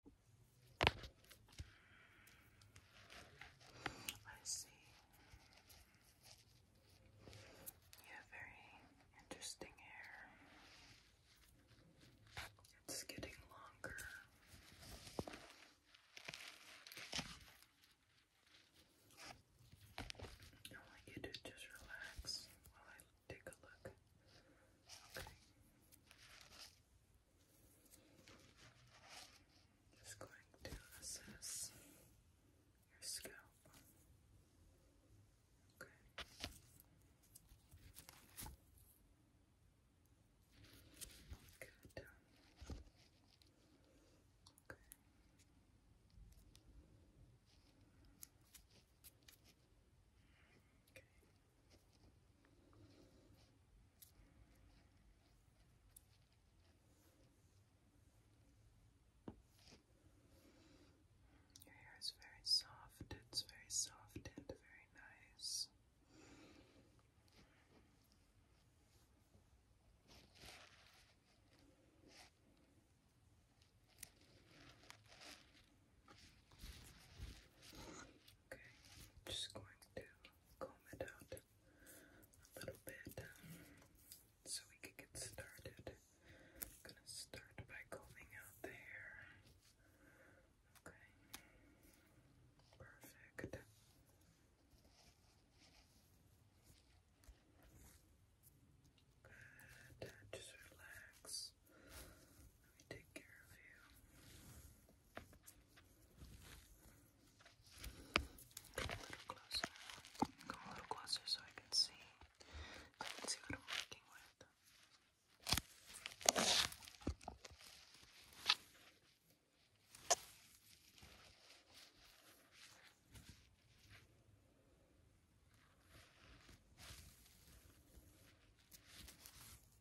I see. You very interesting hair. It's getting longer. I want you to just relax while I take a look. Okay. Just going to assess your scalp. Okay. Good. Okay. Okay. Your hair is very soft, it's very soft and very nice. Okay, just going to comb it out a little bit um, so we can get started. gonna start by combing out the hair. Okay, perfect. Good, just relax take care of you. Come a little closer. Come a little closer so I can see. I can see what I'm working with.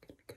Looking good.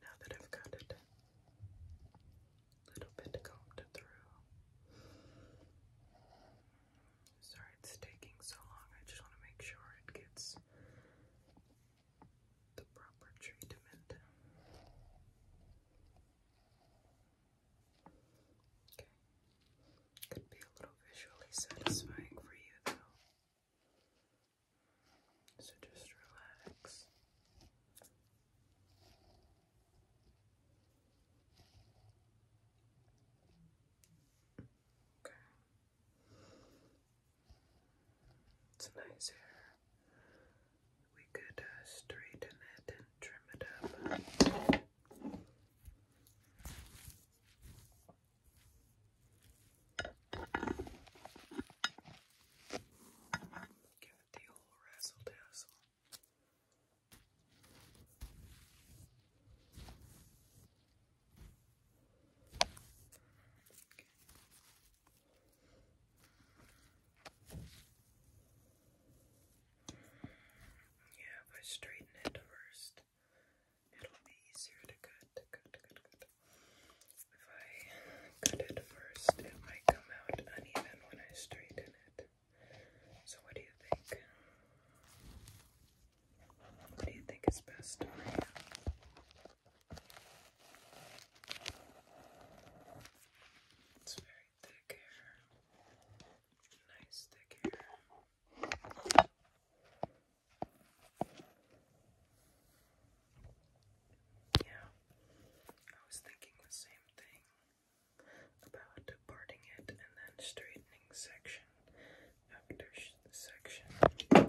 Now that I've got it a little bit combed through. Sorry it's taking so long. I just want to make sure it gets the proper treatment. Okay. Could be a little visually satisfying for you though. So just relax. Okay. It's nice hair. We could uh, straighten it and trim it up. Give the old razzle dazzle. Yeah, if I straighten it first, it'll be easier to cut. If I cut it first, it might come out uneven when I straighten it. So, what do you think? What do you think is best for you? It's very thick hair. Nice thick hair. Yeah, I was thinking the same thing about parting it and then straightening section after section.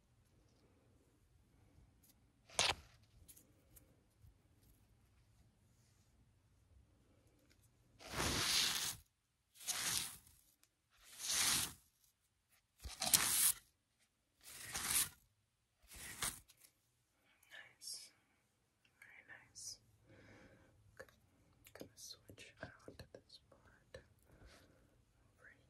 Nice, very nice. Okay, gonna switch out this part over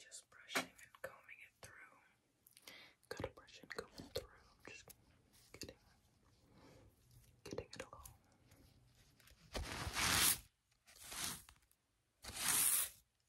Just brushing and combing it through. got brush and comb through. I'm just getting, getting it all.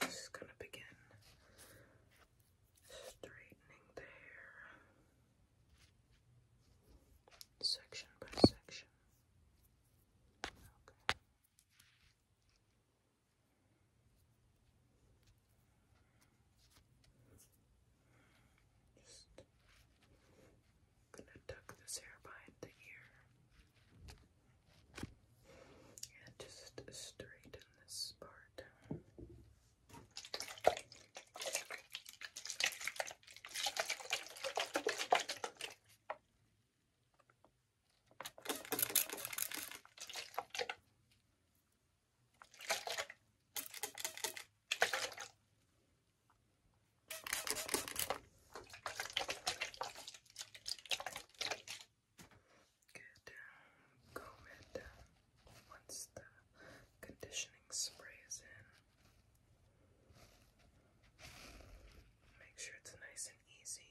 This is going to begin straightening the hair section by section. Okay. Just gonna tuck this hair behind the ear and just straighten this part. Good. Comb it once the conditioning spray is in. Make sure it's nice and easy.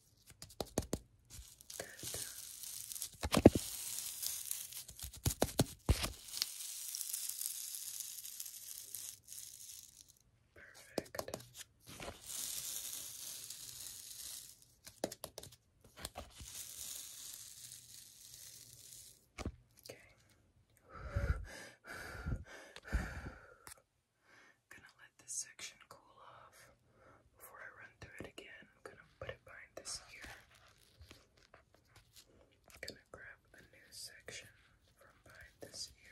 Perfect. Okay. Gonna let this section cool off. Before I run through it again, I'm gonna put it behind this ear. I'm gonna grab a new section from behind this ear.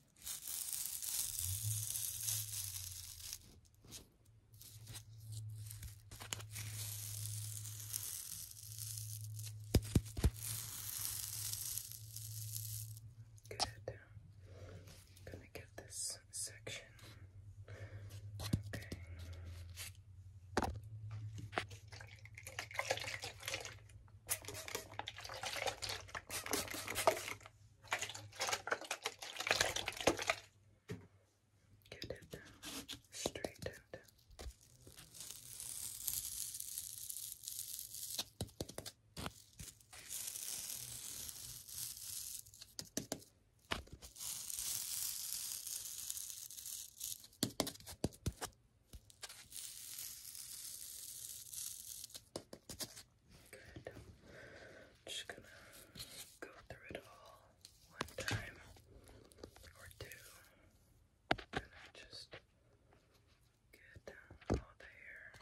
Good. I'm gonna give this section. Okay. Get it down, straight down, down. Good. I'm just gonna go through it all one time or two. And just get all the hair.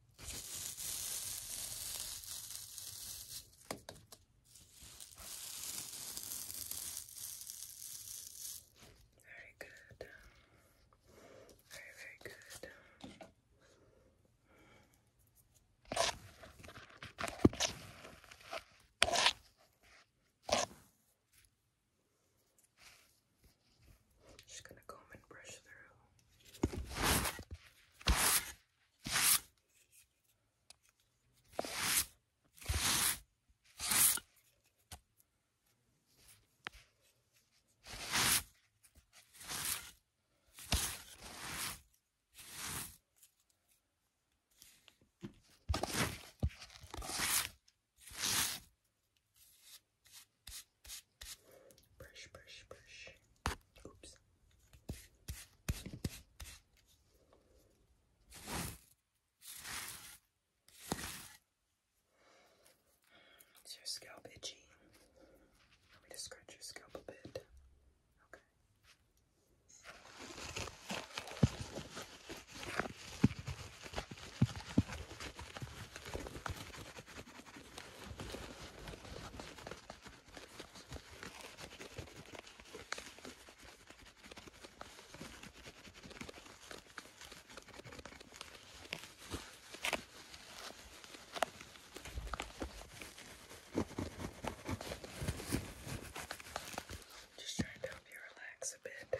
Very good. Very, very good. Just gonna comb and brush through. Brush, brush, brush. Oops. Is your scalp itchy? Let me scratch your scalp a bit. Okay. Just trying to help you relax a bit.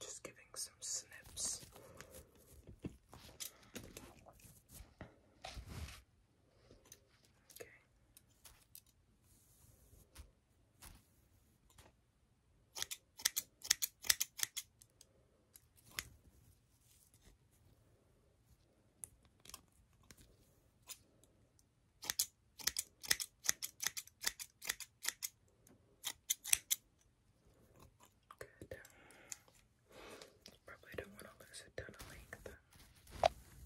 Just giving some snips. Okay. Good. Probably don't want to lose a ton of length.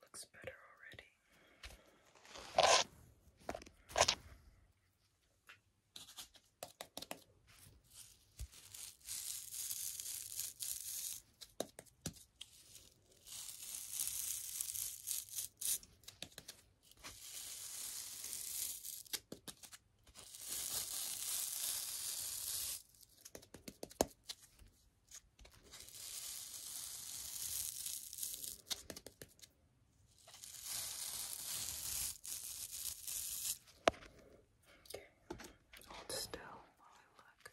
Looks better already. Hold still while I look. Okay.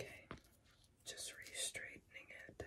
Okay, just re-straightening it.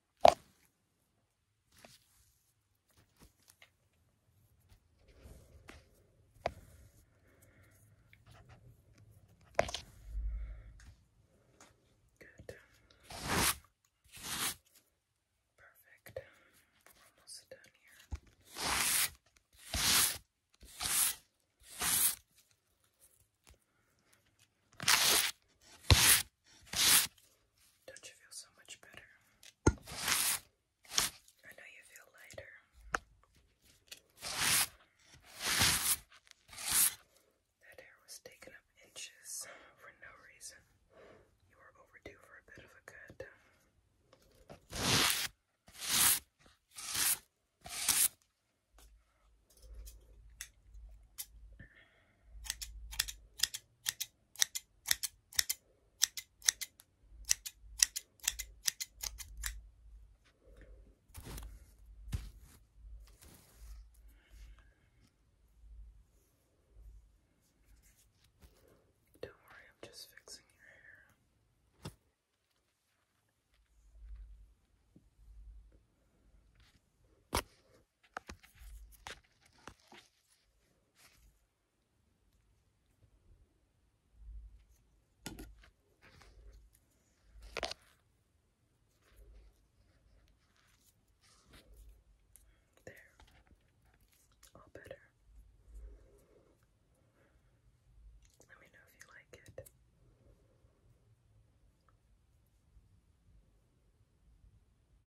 Good. Perfect. We're almost done here. Okay. Don't you feel so much better? I know you feel lighter. That hair was taken up inches for no reason. You were overdue for a bit of a cut. Don't worry, I'm just fixing your hair. There, all better. Let me know if you like it.